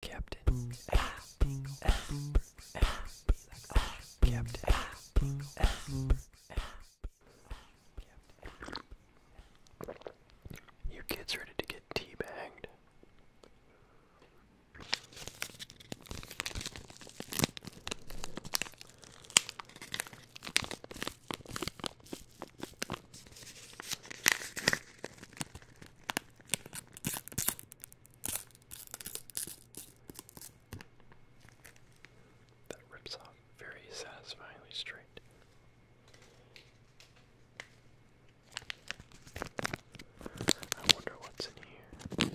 Captain You kids ready to get teabagged? That rips off very satisfyingly straight. I wonder what's in here.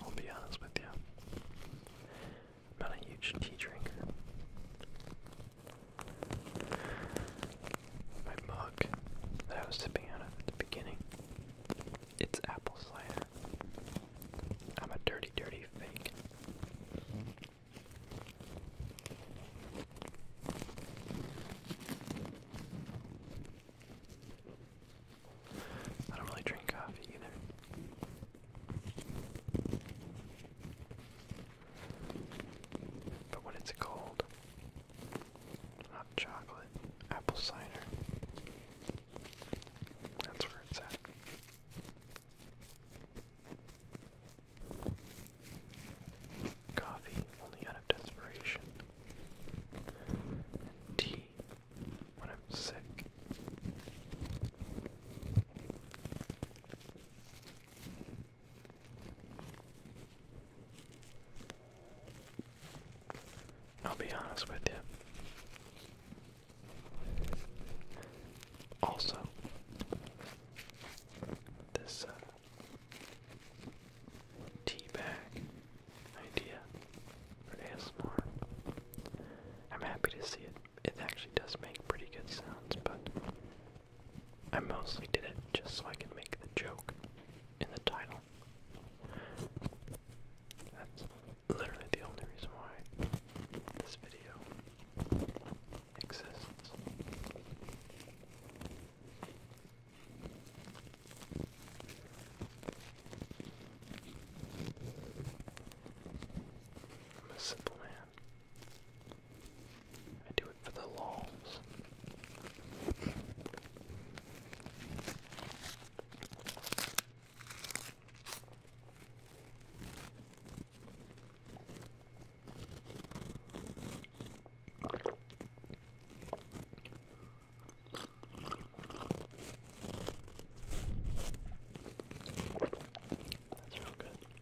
I'll be honest with you. not a huge tea drinker my mug that I was sipping out of at the beginning. It's apple cider. I'm a dirty, dirty fake. I don't really drink coffee either. But when it's cold, hot chocolate, apple cider. That's where it's at. Coffee, only out of desperation. Tea, when I'm sick. I'll be honest with you. Also, this uh, tea bag idea for ASMR, I'm happy to see it. It actually does make pretty good sounds, but I mostly did it just so I could make the joke in the title. That's literally the only reason why this video exists. I'm a simple man. I do it for the lols. That's real good.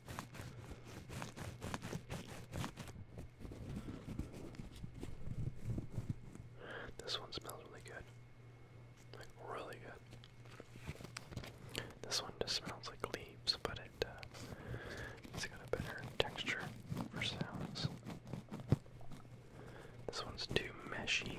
This one smells really good. Like, really good. This one just smells like leaves, but it, uh, it's got a better texture for sounds. This one's too meshy.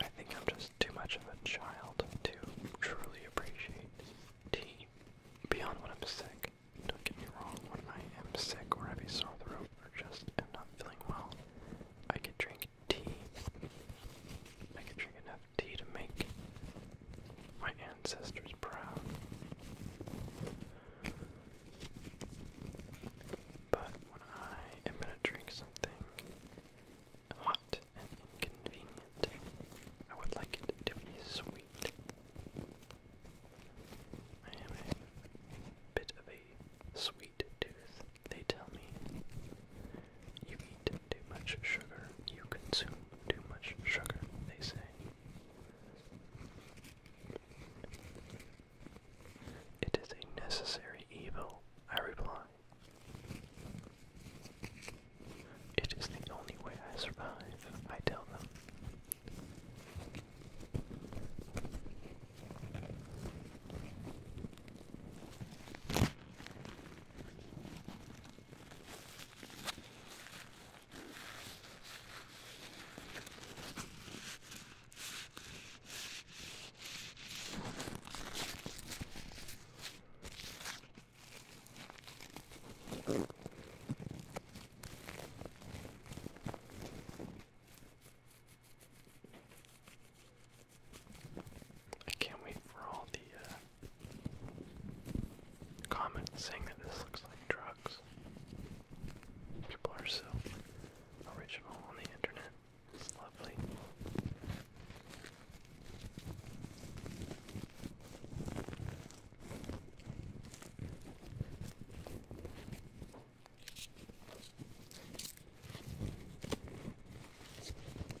I think I'm just too much of a child to truly appreciate tea beyond when I'm sick. Don't get me wrong, when I am sick or have a sore throat or just am not feeling well, I can drink tea. I could drink enough tea to make my ancestors proud. But when I am gonna drink something hot and inconvenient, I would like it to be sweet. I am a bit of a sweet tooth. They tell me you eat too much sugar, you consume too much sugar, they say. It is a necessary evil, I reply. It is the only way I survive, I tell them. I can't wait for all the uh, comments saying that this looks like drugs. People are so original on the internet. It's lovely.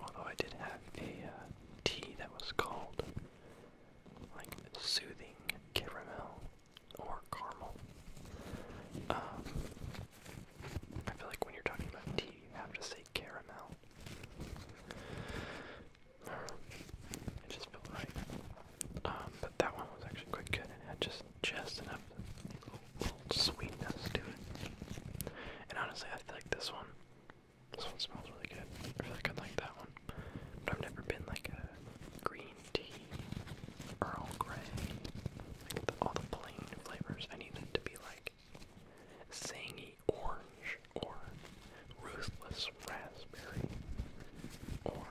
Although I did have the uh, tea that was called like soothing caramel or caramel. Um, I feel like when you're talking about tea, you have to say caramel. It just felt right. Um, but that one was actually quite good, it had just just enough little, sweetness to it. And honestly, I like this one. This one smells really good. I feel like i like that one. But I've never been like a green tea, Earl Grey, all the plain flavors. I need them to be like zangy orange or ruthless raspberry or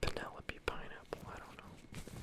Penelope pineapple, I don't know.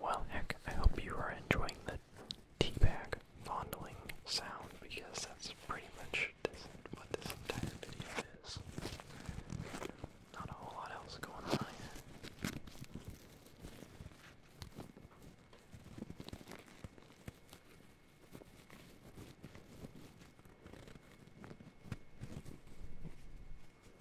Well, heck, I hope you are enjoying the teabag fondling sound because that's pretty much what this entire video is. Not a whole lot else going on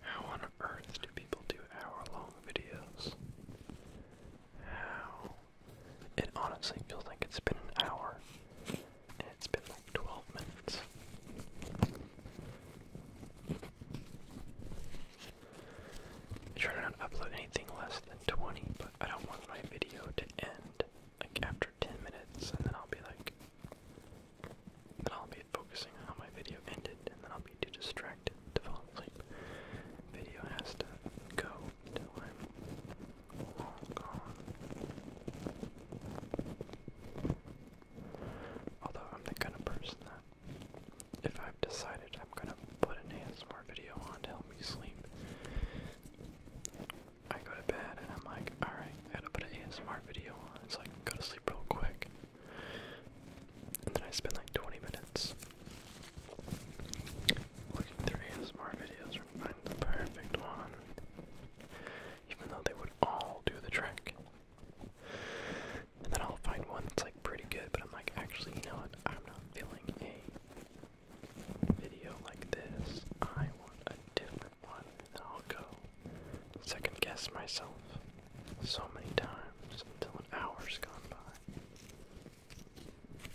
How on earth do people do hour long videos? How? It honestly feels like it's been an hour, it's been like 12 minutes. I try not to upload anything less than 20, but I don't want my video to end like after 10 minutes, and then I'll be like, I'll be focusing on how my video ended, and then I'll be too distracted to fall asleep. Video has to go until I'm long gone. Although I'm the kind of person that, if I've decided I'm gonna put an ASMR video on to help me sleep, I go to bed and I'm like, alright, gotta put an ASMR video on. It's like, go to sleep real quick. And then I spend like 20 minutes looking through ASMR videos and find the perfect one. Even though they would all do the trick. And then I'll find one that's like pretty good, but I'm like, actually, you know what? I'm not feeling a video like this. I want a different one. And I'll go second guess myself so many times until an hour's gone by.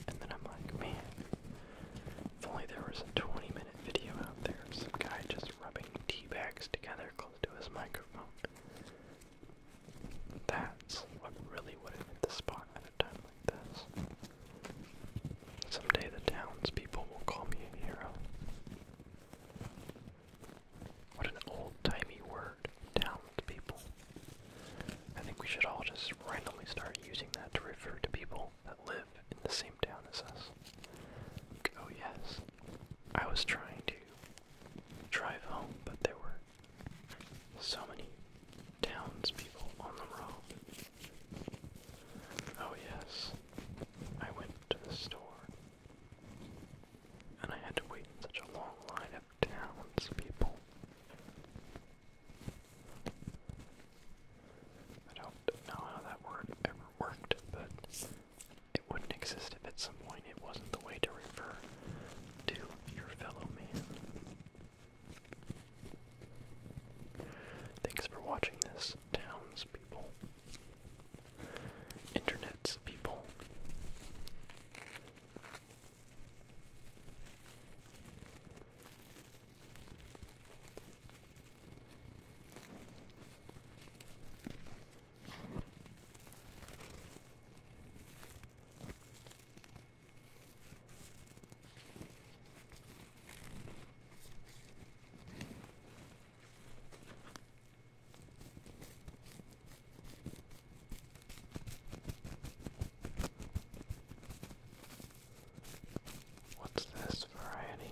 And then I'm like, man, if only there was a 20 minute video out there of some guy just rubbing tea bags together close to his microphone. That's what really would hit the spot at a time like this. Someday the townspeople will call me a hero. What an old-timey word, down I think we should all just randomly start using that to refer to people that live in the same town as us. Oh yes, I was trying to drive home, but there were so many townspeople on the road. Oh yes, I went to the store and I had to wait in such a long line of townspeople. I don't know how that word ever worked, but it wouldn't exist if at some point it wasn't the way to refer to your fellow man. Thanks for watching this, townspeople internets people. What's this variety?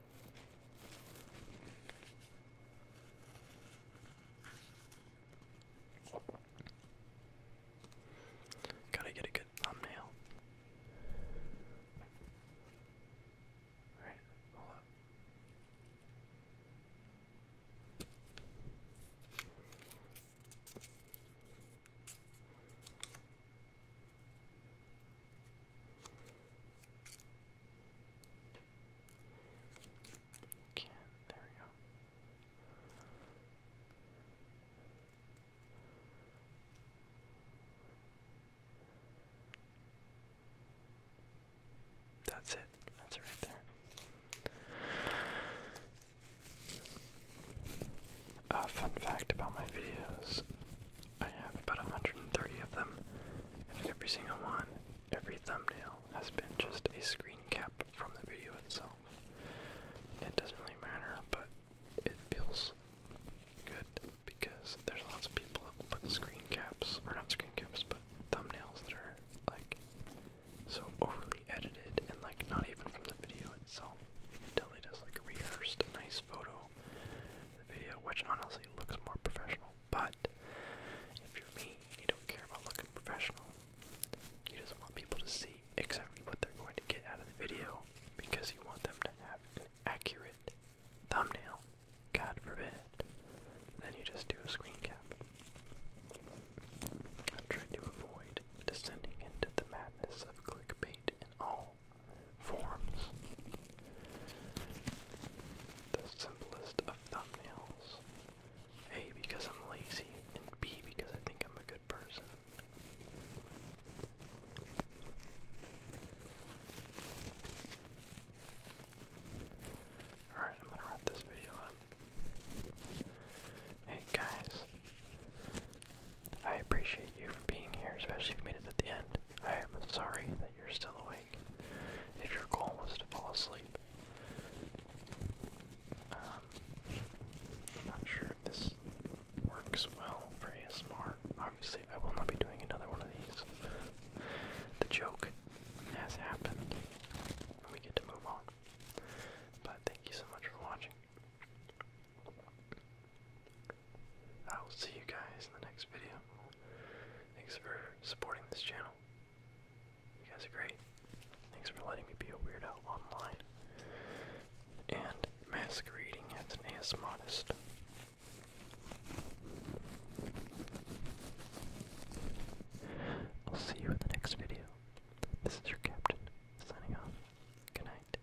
Gotta get a good thumbnail. Alright, hold up. Can there we go. That's it. That's it right there. A uh, fun fact about my videos I have about 130 of them, and every single one, every thumbnail, has been just a screen cap from the video itself. It doesn't really matter, but it feels good because there's lots of people that put screen caps, or not screen caps, but thumbnails that are like so overly edited and like not even from the video itself. It totally does like a rehearsed nice photo video, which honestly looks more professional. But if you're me, you don't care about looking professional. You just want people to see exactly what they're going to get out of the video because you want them to have an accurate thumbnail. God forbid. Then you just do a screen cap. I am trying to avoid descending into the madness of clickbait and all forms. The simplest of thumbnails. A, because I'm lazy, B, because I think I'm a good person. Alright, I'm gonna wrap this video up. Hey guys, I appreciate Thank you for being here, especially if you made it at the end. I am sorry that you're still awake. If your goal was to fall asleep, um, I'm not sure if this works well for ASMR. Obviously, I will not be doing another one of these. the joke has happened, and we get to move on. But thank you so much for watching. I will see you guys in the next video. Thanks for supporting this channel. You guys are great. Thanks for letting me be a weirdo online. And masquerading as an ASModist. I'll see you in the next video. This is your captain, signing off. Good night.